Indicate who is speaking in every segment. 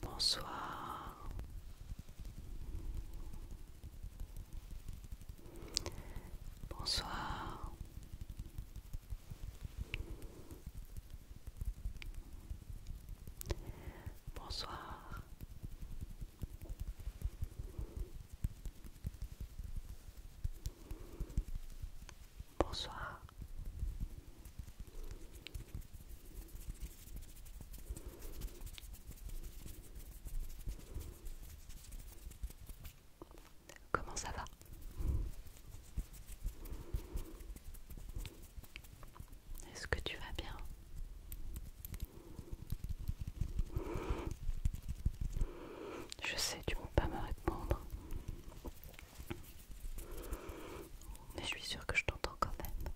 Speaker 1: Bonsoir. Bonsoir. Bonsoir. Bonsoir. Comment ça va Est-ce que tu vas bien Je sais, tu ne peux pas me répondre. Mais je suis sûre que je t'entends quand même.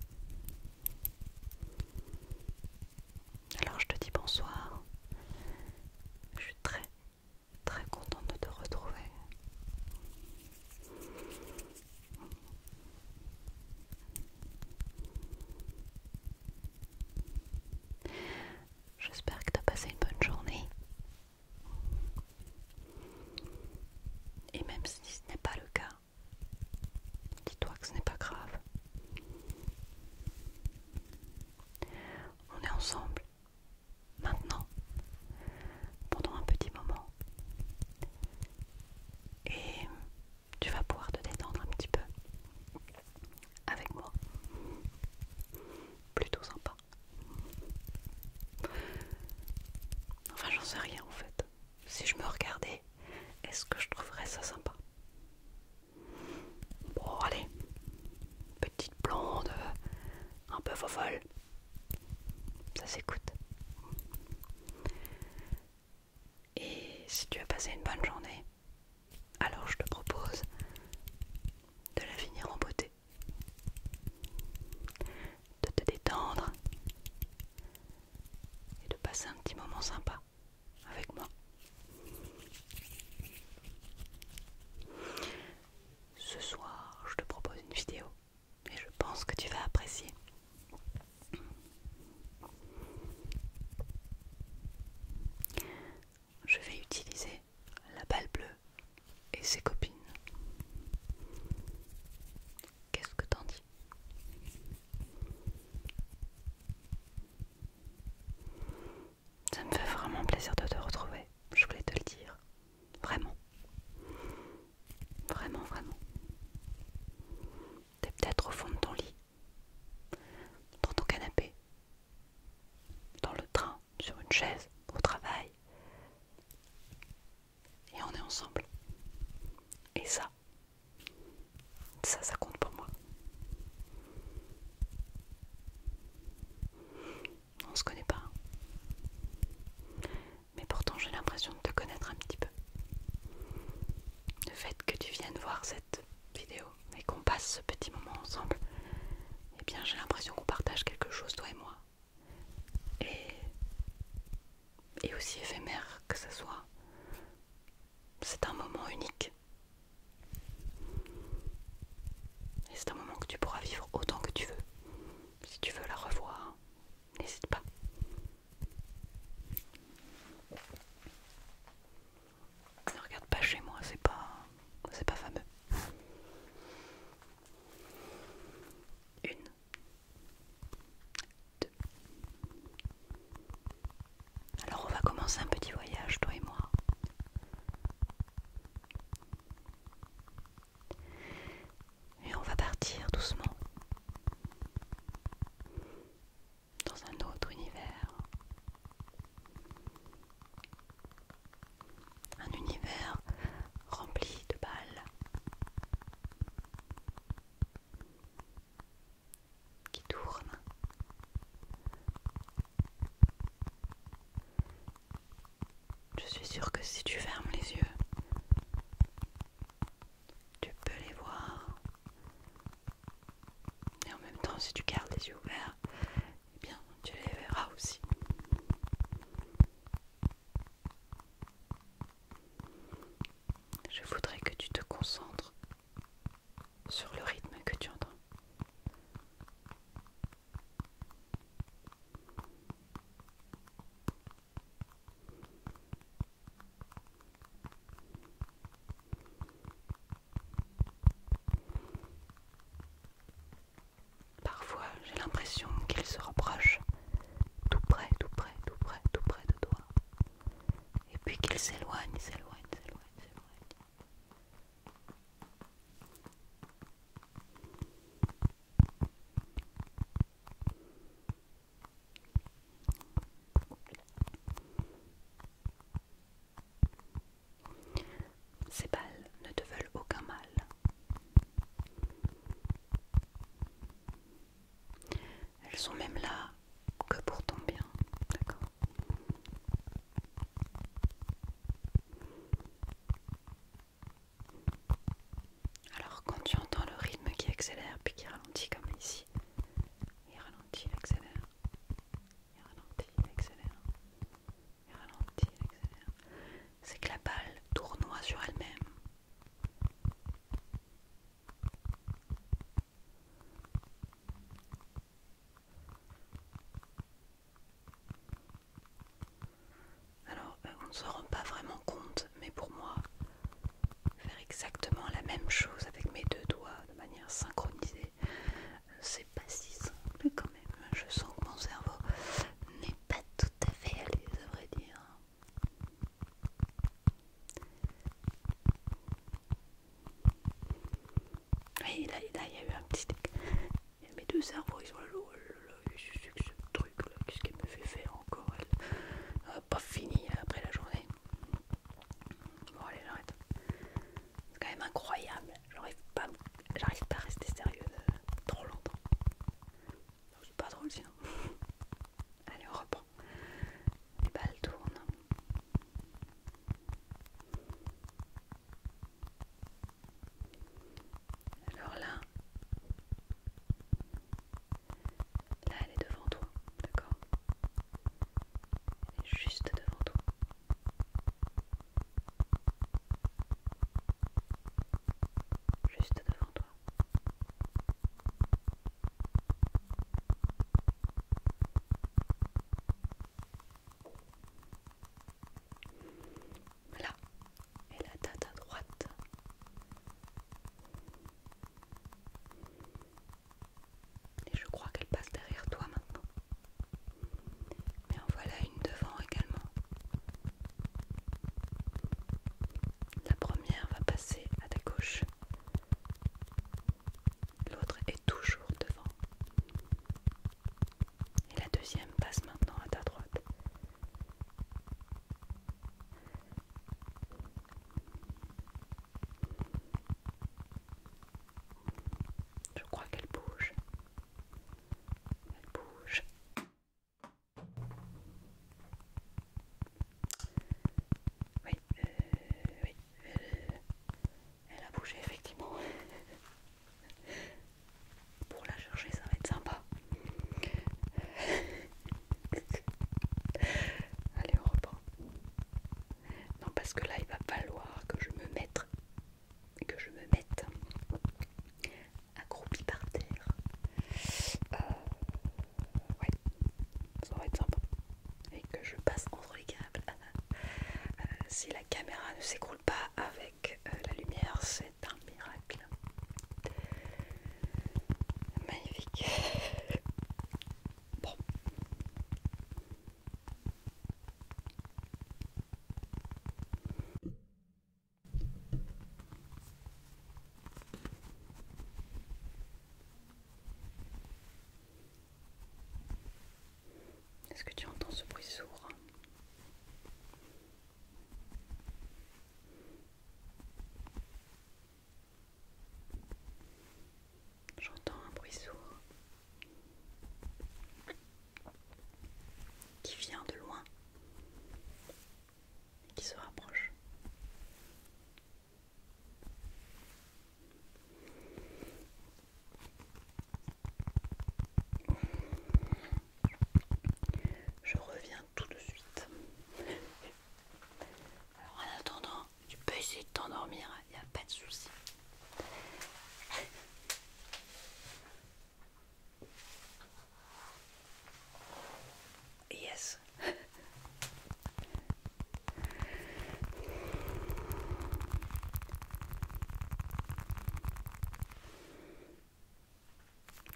Speaker 1: Alors je te dis bonsoir. Je suis très très contente de te retrouver. J'espère que tu as passé une bonne journée. Et même si ce n'est pas le cas, Dis-toi que ce n'est pas grave. On est ensemble. Maintenant. Pendant un petit moment. Et tu vas pouvoir te détendre un petit peu. Avec moi. Plutôt sympa. Enfin, j'en sais rien en fait si je me regardais, est-ce que je trouverais ça sympa Bon, allez, petite blonde, un peu fofolle, ça s'écoute. Et si tu as passé une bonne journée, alors je te propose de la finir en beauté, de te détendre, et de passer un petit moment sympa avec moi. Ce soir, je te propose une vidéo et je pense que tu vas apprécier. Je vais utiliser la balle bleue et ses copines. Qu'est-ce que t'en dis Ça me fait vraiment plaisir de te retrouver. Je voulais te le dire. Vraiment. Vraiment, vraiment. T'es peut-être au fond de ton lit, dans ton canapé, dans le train, sur une chaise, au travail et on est ensemble. Et ça, ça, ça compte pour moi. On se connaît pas. Hein. Mais pourtant, j'ai l'impression de te connaître un petit peu. Le fait que tu viennes voir cette vidéo et qu'on passe ce petit moment ensemble, eh bien, j'ai l'impression qu'on partage quelque chose, toi et moi. Et et aussi éphémère que ça soit, c'est un moment unique. Et c'est un moment que tu pourras vivre autant que tu veux. Si tu veux la revoir, n'hésite pas. Ne regarde pas chez moi, c'est pas c'est pas fameux. Une alors on va commencer un petit voyage, toi et moi. Et on va partir doucement dans un autre univers. Un univers rempli de balles qui tourne. Je suis sûre que si tu fermes les yeux, tu peux les voir. Et en même temps, si tu gardes les yeux ouverts, eh bien, tu les verras aussi. Je voudrais que tu te concentres sur le rythme que tu entends. Parfois, j'ai l'impression qu'il se rapproche tout près, tout près, tout près, tout près de toi. Et puis qu'il s'éloigne, s'éloigne, s'éloigne, s'éloigne. Ces balles ne te veulent aucun mal. Elles sont même là que pour ton bien, d'accord Alors quand tu entends le rythme qui accélère puis qui ralentit comme ici, il ralentit, il accélère, il ralentit, il accélère, il ralentit, il accélère, c'est que la balle tournoie sur elle-même. Alors, euh, on ne se rend pas vraiment compte, mais pour moi, faire exactement la même chose avec mes deux doigts de manière synchronisée, euh, c'est pas si simple quand même. Je sens que mon cerveau n'est pas tout à fait allé, à vrai dire. Et là, il y a eu un petit... Mes deux cerveaux, ils sont là, oh ce truc là, qu'est-ce qu'elle me fait faire encore elle ah, Pas fini hein, après la journée. Bon allez, j'arrête. C'est quand même incroyable, j'arrive pas, pas à rester sérieuse euh, trop longtemps. C'est pas drôle sinon. Allez, on reprend. Les balles tournent. Alors là, là elle est devant toi, d'accord Elle est juste devant toi. Juste devant toi. Voilà, et la tête à droite. Et je crois qu'elle passe derrière toi maintenant. Mais en voilà une devant également. La première va passer à ta gauche. L'autre est toujours devant. Et la deuxième passe maintenant à ta droite. Je crois qu'elle bouge. Elle bouge. Oui, euh, oui, euh, elle a bougé effectivement. Pour la chercher, ça va être sympa. Allez, on reprend. Non, parce que là, il va falloir que je me mette, que je me mette euh, accroupie par terre. Ouais, ça va être sympa. Et que je passe entre les câbles. Euh, si la caméra ne s'écroule pas avec euh, la lumière, c'est un miracle. Magnifique. Bon. Est-ce que tu entends ce bruit sourd J'entends un bruit sourd qui vient de loin, et qui se rapproche. Je reviens tout de suite. Alors en attendant, tu peux essayer de t'endormir, il n'y a pas de souci. Yes.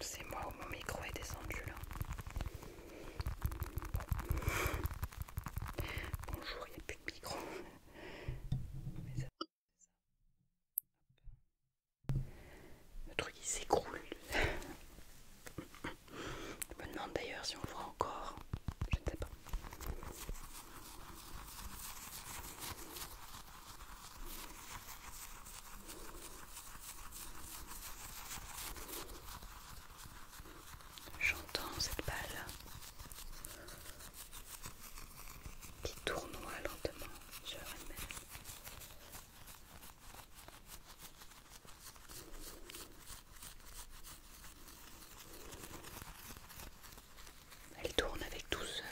Speaker 1: C'est moi où mon micro est descendu là. Bonjour, il n'y a plus de micro. Le truc il s'écroule. Je me demande d'ailleurs si on le voit encore. Je ne sais pas. J'entends cette balle qui tournoie lentement sur elle-même. Elle tourne avec douceur,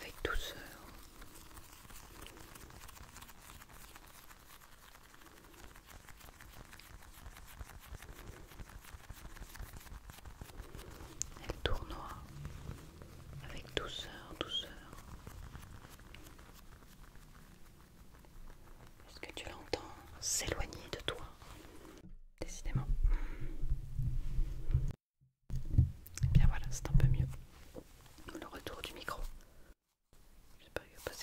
Speaker 1: avec douceur. Elle tournoie avec douceur, douceur. Est-ce que tu l'entends s'éloigner de toi Décidément. Et eh bien voilà, c'est un peu mieux. Le retour du micro. J'espère que a pas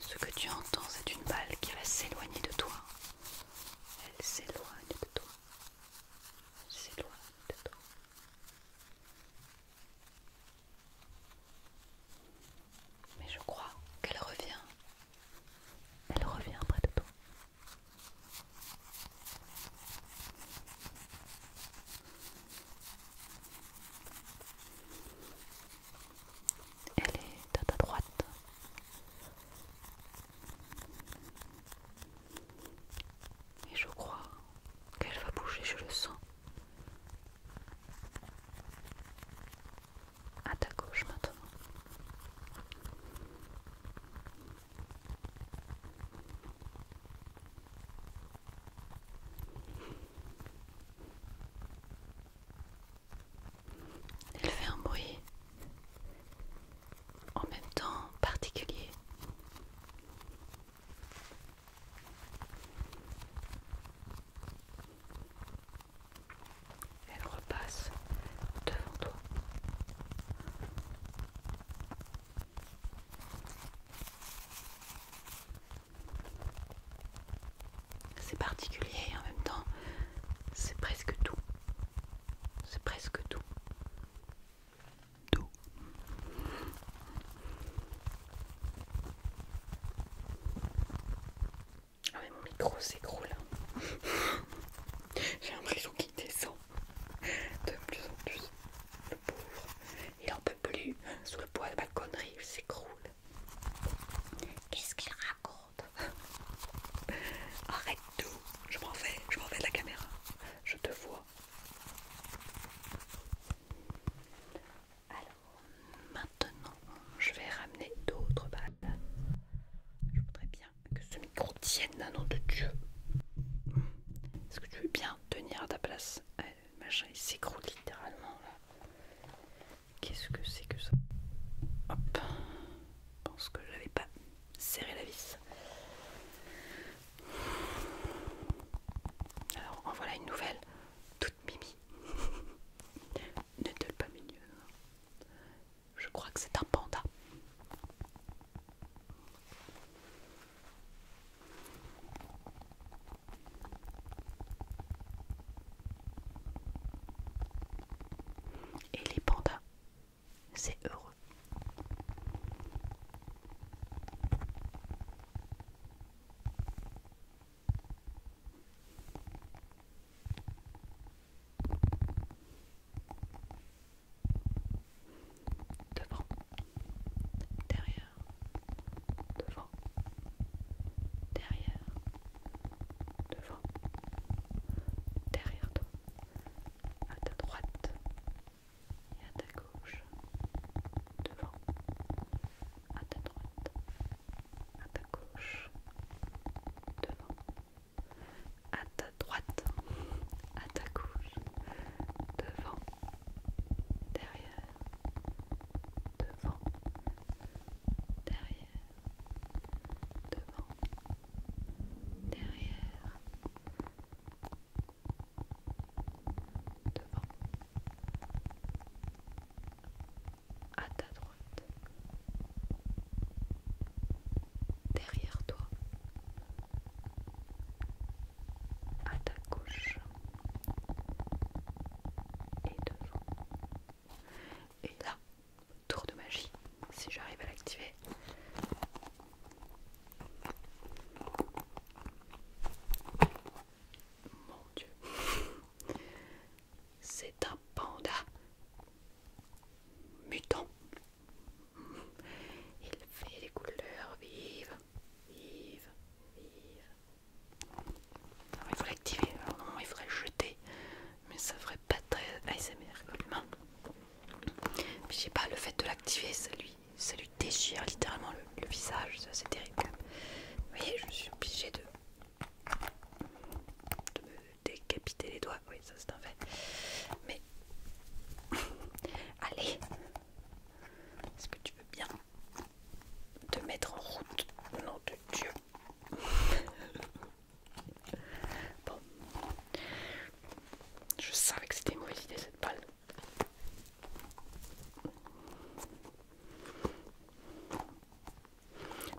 Speaker 1: ce que tu entends, c'est une balle qui va s'éloigner de toi. Elle s'éloigne de toi. s'éloigne de toi. Mais je crois qu'elle revient. Elle revient près de toi. Elle est à ta droite. Et je crois qu'elle va bouger, je le sens. À ta gauche maintenant. Elle fait un bruit en même temps particulier elle repasse devant toi. C'est particulier en même temps, c'est presque tout. C'est presque tout. Tout. Ah mais mon micro s'écroule. J'ai l'impression qui descend de plus en plus. Le pauvre, il en peut plus. Sous le poids de ma connerie, il s'écroule. Qu'est-ce qu'il raconte Arrête tout. Je m'en vais, je m'en vais de la caméra. Je te vois. Alors, maintenant, je vais ramener d'autres balles. Je voudrais bien que ce micro tienne, nom de Dieu. Est-ce que tu veux bien tenir à ta place le euh, Machin, il s'écroule littéralement là. Qu'est-ce que c'est que ça Hop, je pense que j'avais pas serré la vis. Alors, en voilà une nouvelle, toute mimi. ne te le pas mignonne. Je crois que c'est un panda. Et les pandas, c'est heureux devant, derrière, devant, derrière, devant, derrière toi, à ta droite et à ta gauche, devant, à ta droite, à ta gauche, devant à ta droite, à ta gauche, devant, derrière, devant, derrière, devant, derrière, devant, à ta droite derrière toi, à ta gauche et devant. Et là, tour de magie, si j'arrive à l'activer. Mon Dieu, c'est un panda mutant. Il fait les couleurs vives, vives, il faut l'activer, il faudrait jeter, mais ça ferait pas très ASMR comme main. Je sais pas, le fait de l'activer, ça lui, ça lui déchire littéralement le, visage, ça c'est terrible. Vous voyez, je suis obligée de, de me décapiter les doigts oui, ça c'est un fait. Mais allez, est-ce que tu veux bien te mettre en route Nom de Dieu. bon, je savais que c'était une mauvaise idée cette balle.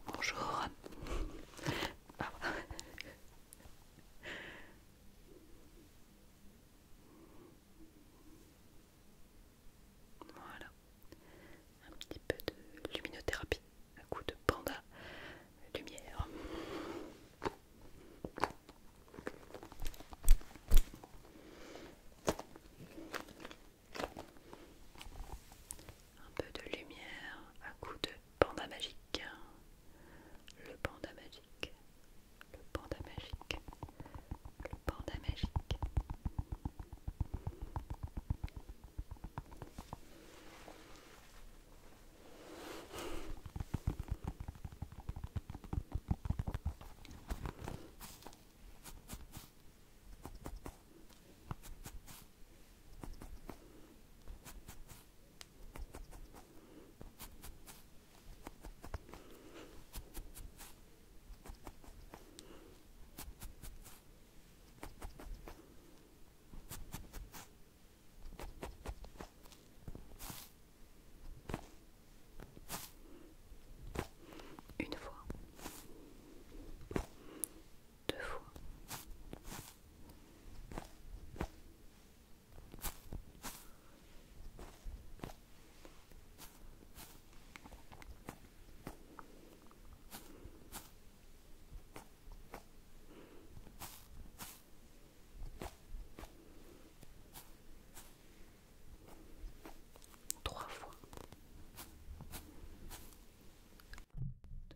Speaker 1: Bonjour. Ah. Voilà, un petit peu de luminothérapie un coup de panda lumière. Un peu de lumière un coup de panda magique le panda magique, le panda magique, le panda magique. Une fois, deux fois, Trois fois.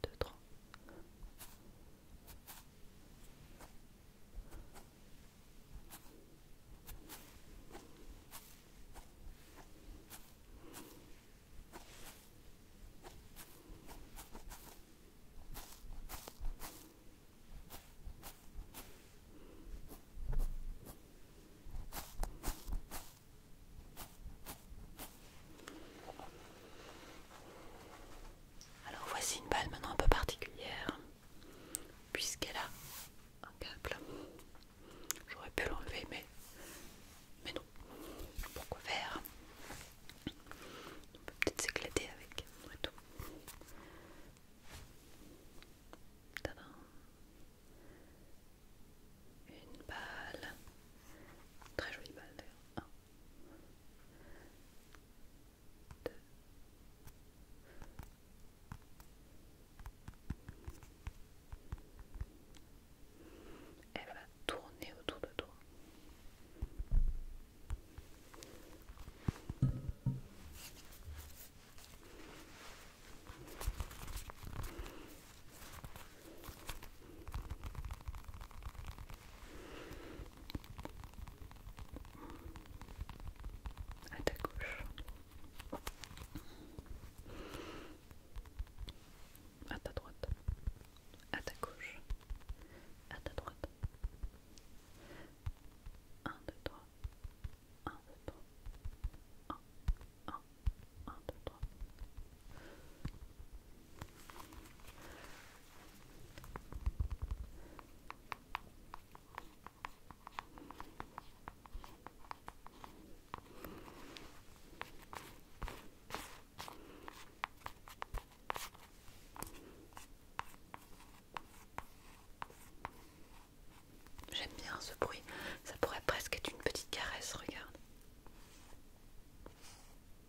Speaker 1: 2, 3. Alors voici une balle maintenant un peu particulière, puisqu'elle a un câble. J'aurais pu l'enlever, mais, mais non. Pourquoi faire On peut peut-être s'éclater avec, et tout. Une balle, très jolie balle d'ailleurs. Elle va tourner autour de toi à ta gauche, à ta droite, à ta gauche, à ta droite. un, 2, 3, un, 2, 3, 1, 2, 3. J'aime bien ce bruit, ça pourrait presque être une petite caresse, regarde.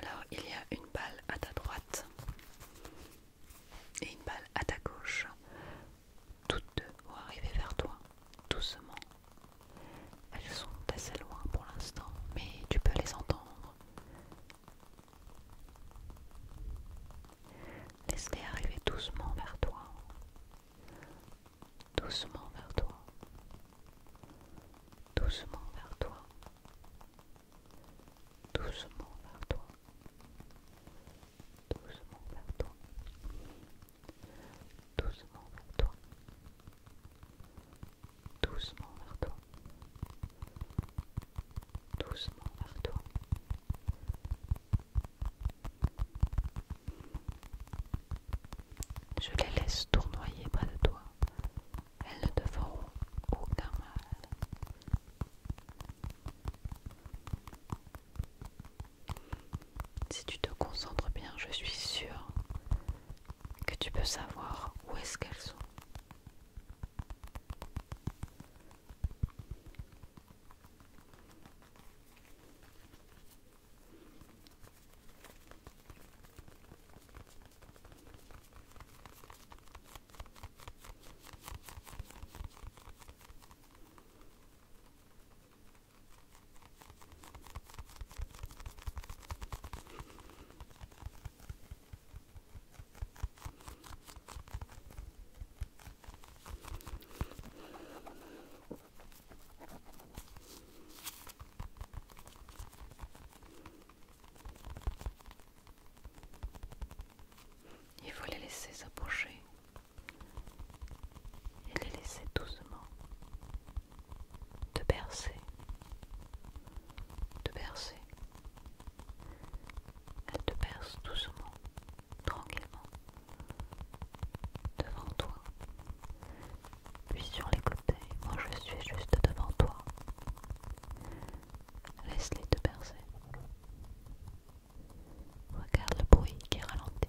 Speaker 1: Alors, il y a une balle à ta droite et une balle à ta gauche. Toutes deux vont arriver vers toi, doucement elles sont assez loin pour l'instant, mais tu peux les entendre. Laisse-les arriver doucement vers toi. Doucement vers toi. Doucement vers toi. Doucement vers toi. Doucement vers toi doucement vers toi, doucement vers toi, doucement vers toi. Je les laisse tournoyer près de toi. Elles ne te feront aucun mal. Si tu te concentres bien, je suis sûr que tu peux savoir où est-ce qu'elles sont. Il faut les laisser s'approcher et les laisser doucement te bercer, te bercer. Elle te berce doucement, tranquillement, devant toi. Puis sur les côtés, moi je suis juste devant toi. Laisse-les te bercer. Regarde le bruit qui ralentit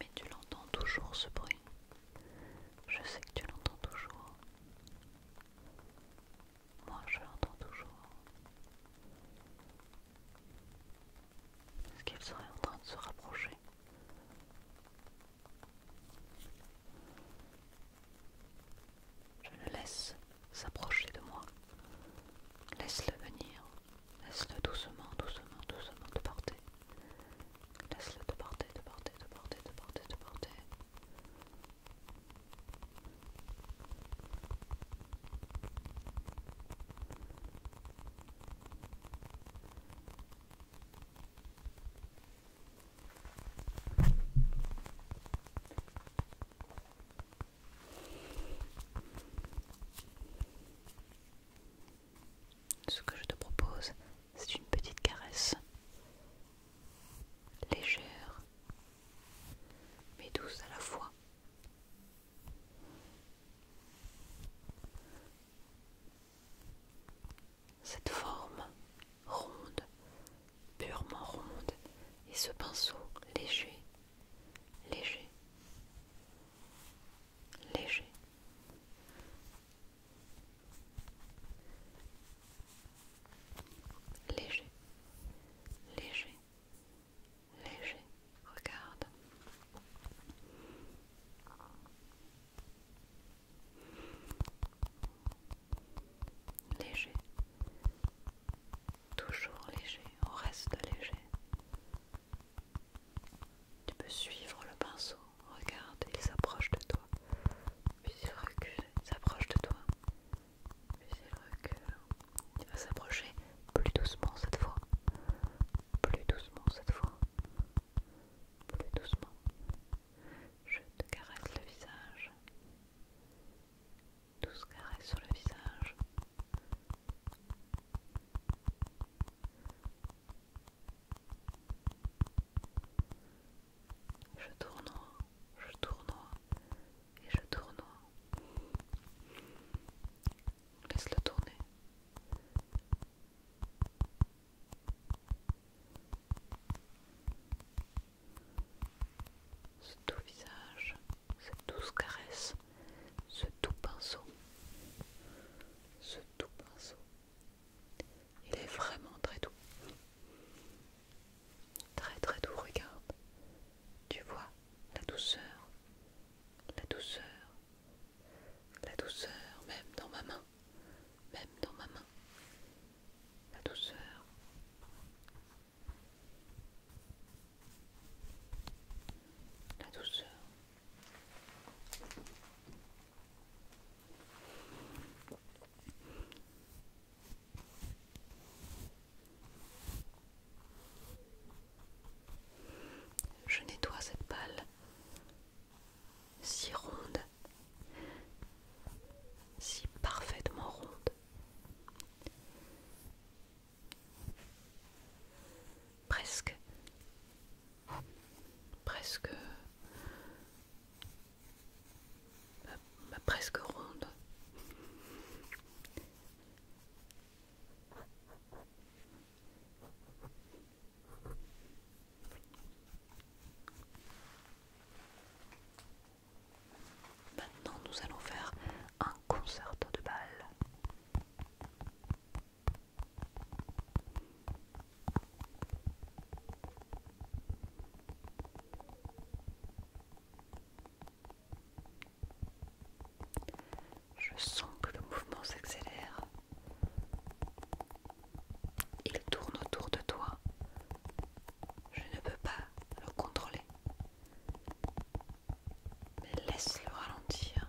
Speaker 1: Mais tu l'entends toujours ce bruit. Je sais que tu l'entends toujours. Moi, je l'entends toujours. Est-ce qu'elle serait en train de se rapprocher je le laisse s'approcher de moi. Laisse-le venir. Laisse-le doucement, doucement, doucement te porter. Laisse-le te porter, te porter, te porter, te porter, te porter. Ce que je te propose, c'est une petite caresse légère mais douce à la fois. Cette forme ronde, purement ronde, et ce pinceau léger, léger, léger. Léger, léger, léger, regarde léger, toujours léger, on reste léger. Tu peux suivre le pinceau, regarde, il s'approche de toi, puis il recule, il s'approche de toi, puis il recule, il va s'approcher plus doucement cette fois, plus doucement cette fois, plus doucement. Je te caresse le visage douce carrés sur le visage. Je tourne, je tourne et je tourne Laisse-le tourner ce doux visage, cette douce caresse, ce doux pinceau, ce doux pinceau. Il est vraiment très doux. Très très doux, regarde. Tu vois la douceur, la douceur, la douceur même dans ma main, même dans ma main. La douceur, la douceur. Je nettoie cette balle si ronde, si parfaitement ronde. Presque. Presque. presque ronde. Maintenant, nous allons faire un concerto de balle. Je sens que le mouvement s'accélère. Il tourne autour de toi je ne peux pas le contrôler. Mais laisse-le ralentir.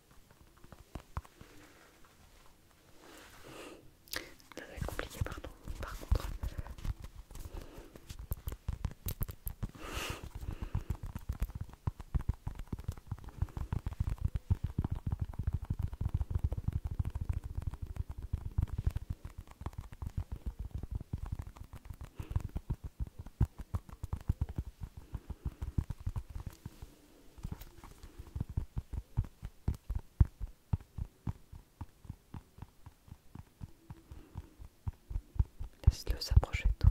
Speaker 1: Ça va compliqué, pardon. Par contre. Laisse-le s'approcher de toi.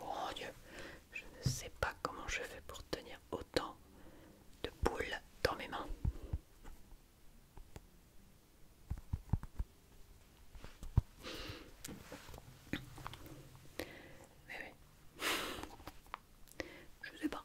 Speaker 1: Mon Dieu, je ne sais pas comment je fais pour tenir autant de boules dans mes mains. Mais oui. Je sais pas.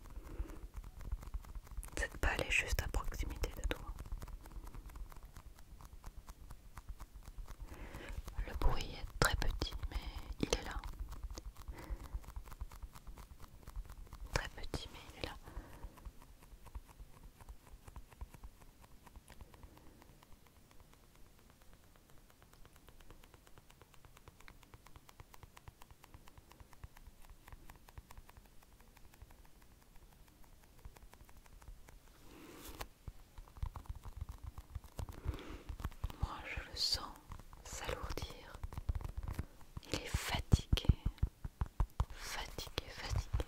Speaker 1: Cette balle est juste à proximité de toi. Le bruit est très petit, mais il est là. Très petit, mais il est là. Moi, je le sens s'alourdir. Il est fatigué, fatigué, fatigué.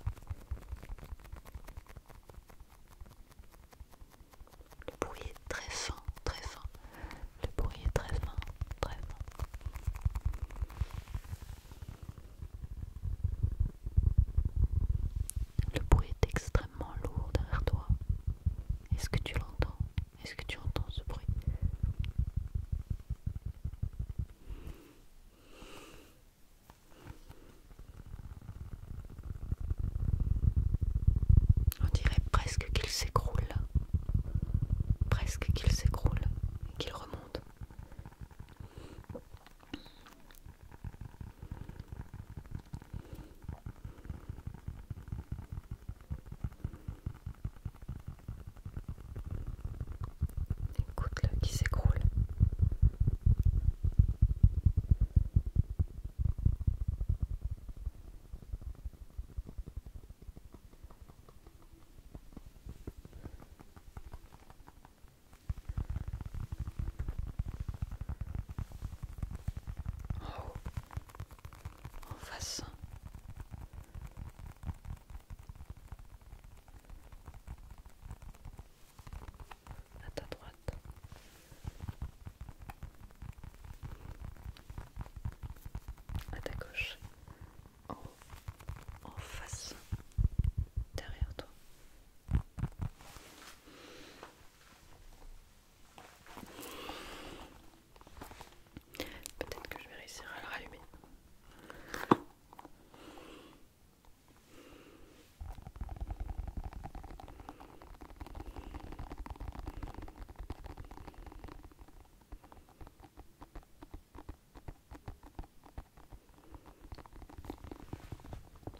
Speaker 1: Le bruit est très fin, très fin. Le bruit est très fin, très Le bruit est extrêmement lourd derrière toi. Est-ce que tu l'entends Est-ce que tu entends ce bruit On dirait presque qu'il s'écroule presque qu'il s'écroule et qu'il remonte. Écoute-le qui s'écroule. En oh, haut, en face. À ta droite, à ta gauche, en face, derrière toi. Peut-être que je vais réussir à le rallumer.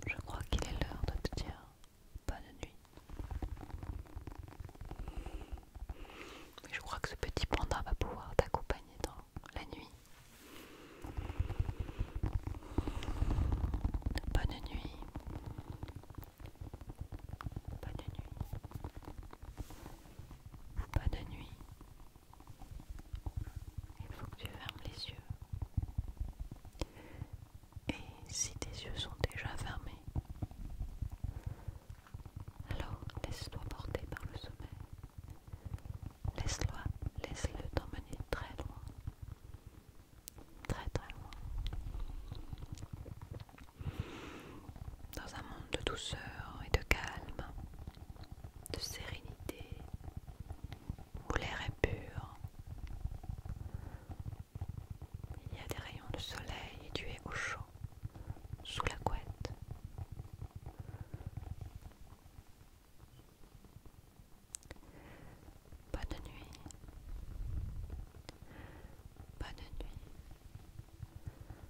Speaker 1: Je crois qu'il est l'heure de te dire bonne nuit. je crois que ce petit panda va pouvoir t'accompagner dans la nuit. Bonne nuit pas de nuit. pas de nuit. Il faut que tu fermes les yeux. Et si tes yeux sont déjà fermés, alors laisse-toi porter par le sommeil. Laisse-le laisse t'emmener très loin. Très très loin dans un monde de douceur et de calme, de sérénité, où l'air est pur. Il y a des rayons de soleil et tu es au chaud, sous la couette. Bonne nuit. Bonne nuit.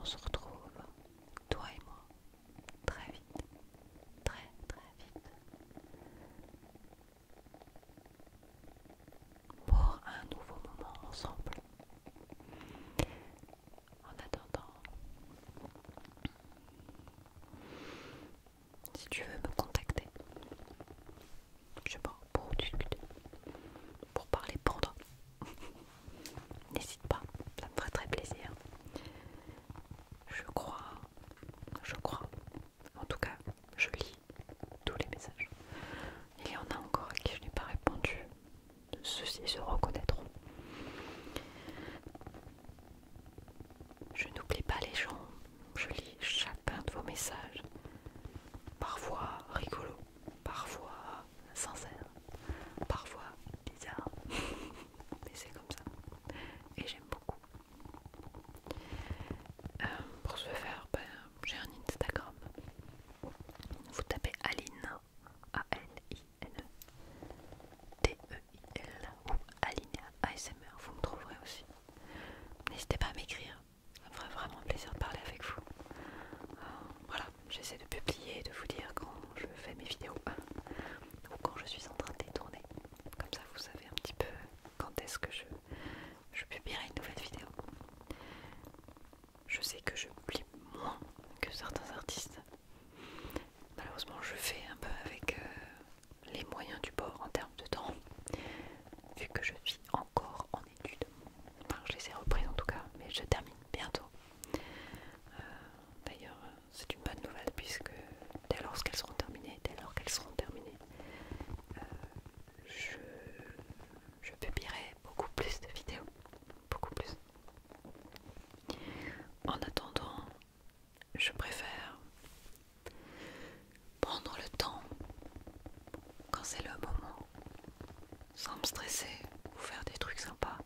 Speaker 1: On se retrouve, toi et moi, très vite, très très vite, pour un nouveau moment ensemble. En attendant, si tu veux me contacter, je sais pas, pour discuter, pour parler pendant N'hésite pas, ça me ferait très plaisir. Je crois, je crois, en tout cas, je lis tous les messages. Il y en a encore à qui je n'ai pas répondu. Ceux-ci se reconnaîtront. Je n'oublie pas les gens, je lis chacun de vos messages. Parfois rigolo, parfois sincère, parfois bizarre, mais c'est comme ça et j'aime beaucoup. Euh, pour ce faire, ben, j'ai un Instagram. Vous tapez Aline, A-L-I-N-E, T-E-I-L ou Aline ASMR, vous me trouverez aussi. N'hésitez pas à m'écrire, ça me ferait vraiment plaisir de parler avec vous. Euh, voilà, j'essaie de publier, de vous dire quand je fais mes vidéos ou quand je suis en train de détourner. tourner. Comme ça, vous savez un petit peu quand est-ce que je, publierai une nouvelle vidéo. Je sais que je publie moins que certains artistes. Malheureusement, je fais un peu avec euh, les moyens du bord en termes de temps, vu que je suis encore en études. Enfin, je les ai reprises en tout cas, mais je termine bientôt. Euh, d'ailleurs, c'est une bonne nouvelle puisque dès lors qu'elles seront terminées, dès lors qu'elles seront terminées, euh, je, je publierai beaucoup plus de vidéos, beaucoup plus. En attendant, je préfère prendre le temps quand c'est le moment sans me stresser, vous faire des trucs sympas,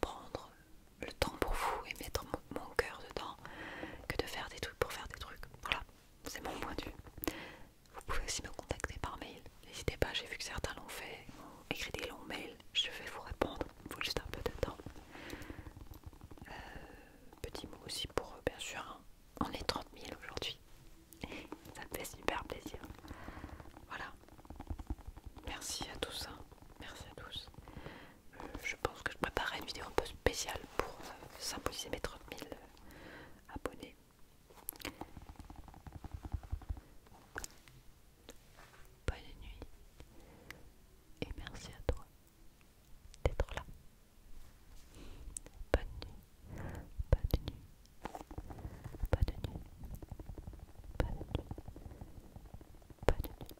Speaker 1: prendre le temps pour vous et mettre mon, cœur dedans que de faire des trucs pour faire des trucs. Voilà, c'est mon point de vue. Vous pouvez aussi me contacter par mail. N'hésitez pas, j'ai vu que certains l'ont fait, ont écrit des longs mails. Je vais vous répondre, il faut juste un peu de temps. Euh, petit mot aussi pour, euh, bien sûr, hein. on est 30 000 aujourd'hui. Ça me fait super plaisir. Voilà, Merci à tous, hein. merci à tous. Euh, je pense que je préparerai une vidéo un peu spéciale pour euh, symboliser mes 30 000 euh, abonnés. Bonne nuit et merci à toi d'être là. Bonne nuit, bonne nuit. Pas de nuit. Pas de nuit. Pas de nuit.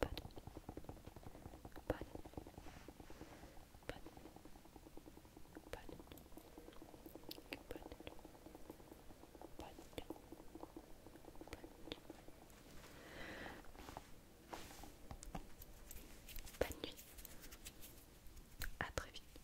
Speaker 1: Pas de Pas de Pas de Pas de À très vite.